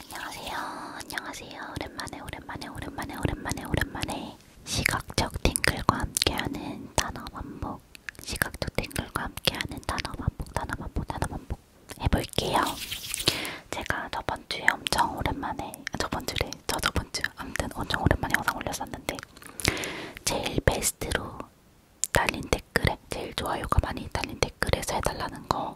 안녕하세요. 안녕하세요. 오랜만에 오랜만에 오랜만에 오랜만에 오랜만에 시각적 팅글과 함께하는 단어 반복 시각적 팅글과 함께하는 단어 반복 단어 반복 단어 반복 해볼게요. 제가 저번주에 엄청 오랜만에 아, 저번주래 저 저번주 아무튼 엄청 오랜만에 영상 올렸었는데 제일 베스트로 달린 댓글에 제일 좋아요가 많이 달린 댓글에서 해달라는 거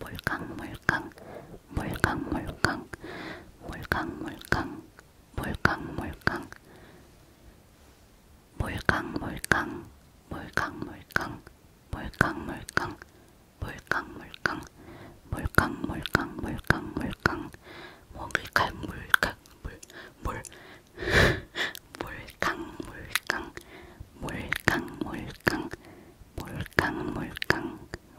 몰캉몰캉 몰캉몰캉 몰캉몰캉 몰캉몰캉 몰캉몰캉 몰캉몰캉 몰캉몰캉 몰캉몰캉 몰캉몰캉 몰캉몰캉 먹을칼 물캉 물물 몰캉 몰캉 몰캉 몰캉 몰캉 몰캉 몰캉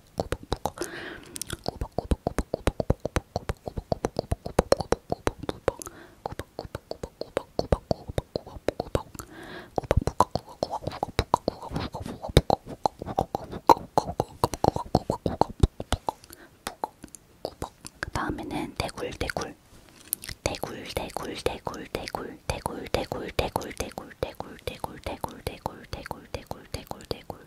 꾸벅꾸벅꾸벅 그 다음에는 대굴 대굴 대굴 대굴 대굴 대굴 대굴 대굴 대굴 대굴 대굴 대굴 대굴 대굴 대굴 대굴 대굴 대굴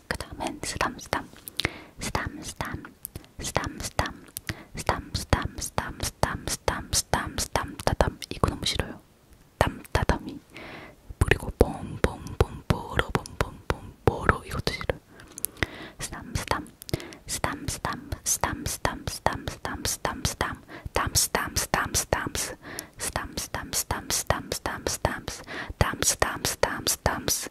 그 다음엔 스담스담 스담스담 스담스담 스담스담 스담스담 스담스담 스담스담 이거 너무 싫어요 땀따담이 그리고 봄봄봄보로봄봄봄보로 이것도 싫어요 스담스담 스담스담 스담스담 스담스담 스담스담 담스담 스담스담스 스담스담 스담스담 스담스담 스담스 담스담 스담스담스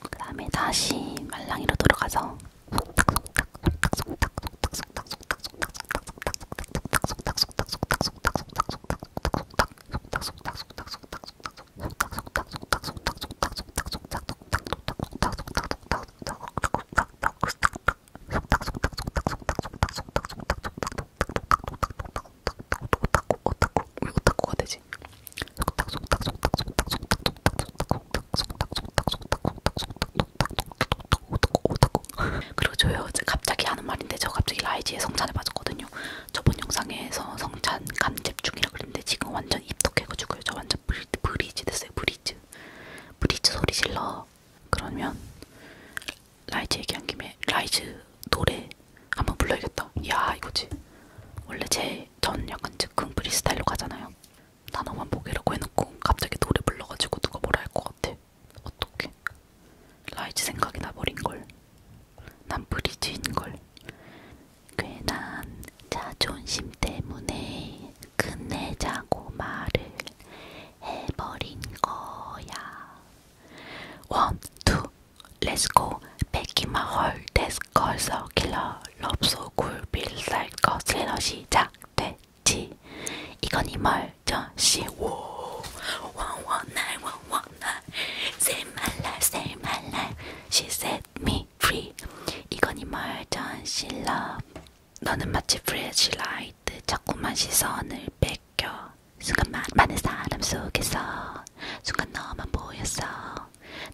그 다음에 다시 말랑이로 돌아가서 오타쿠 오타쿠 오타쿠가 되지 거지. 속닥 속닥 속닥 속닥 속닥 속닥 속닥 속닥 속닥 속닥 그리고 저요 갑자기 하는 말인데 저 갑자기 라이지의 성찬에 빠졌거든요. 저번 영상에서 성찬 간잽 중이라 그랬는데 지금 완전 입덕해가지고요. 저 완전 브리, 브리지 됐어요. 브리즈. 브리즈 소리 질러. 그러면 라이즈 얘기한 김에 라이즈 노래 한번 불러야겠다. 야 이거지. 원래 제 이제 전 약간 즉흥 프리스타일로 가잖아요. 단어만 보기라고 해놓고 갑자기 노래 불러가지고 누가 뭐라 할것 같아. 어떻게? 라이즈 생각이 나버린 걸. 난 브리즈인 걸. 괜한 자존심 때문에 끝내자고 말을 해버린 거야. One, two, let's go. Back in my heart, that's called so killer. 럽소굴빌살 거슬러 시작됐지 이건이 멀저시 워 원원날 원원날 Save my life save my life She set me free 이건이 멀저시 love 너는 마치 프레시 라이트 자꾸만 시선을 뺏겨 순간 많은 사람 속에서 순간 너만 보였어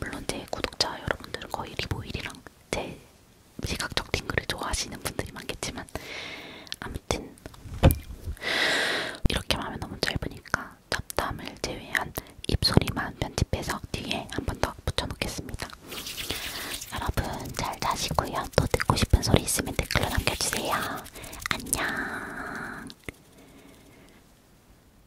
물론 제 구독자 여러분들은 거의 리보일이랑 제 시각적 팅글을 좋아하시는 분들이 많겠지만 아무튼 이렇게만 하면 너무 짧으니까 잡담을 제외한 입소리만 편집해서 뒤에 한 번 더 붙여놓겠습니다. 여러분 잘 자시고요. 또 듣고 싶은 소리 있으면 댓글로 남겨주세요. 안녕.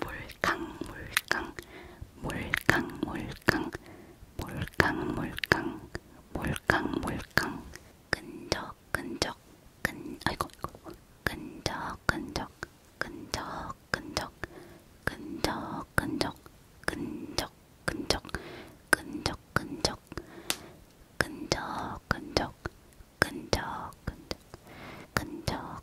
몰캉 몰캉 몰캉 몰캉 몰캉 몰캉 몰캉 몰캉 끈적 끈적 끈 아이고 끈적 끈적 끈적 끈적 끈적 끈적 끈적 끈적 끈적 끈적 끈적 끈적 끈적 끈적 끈적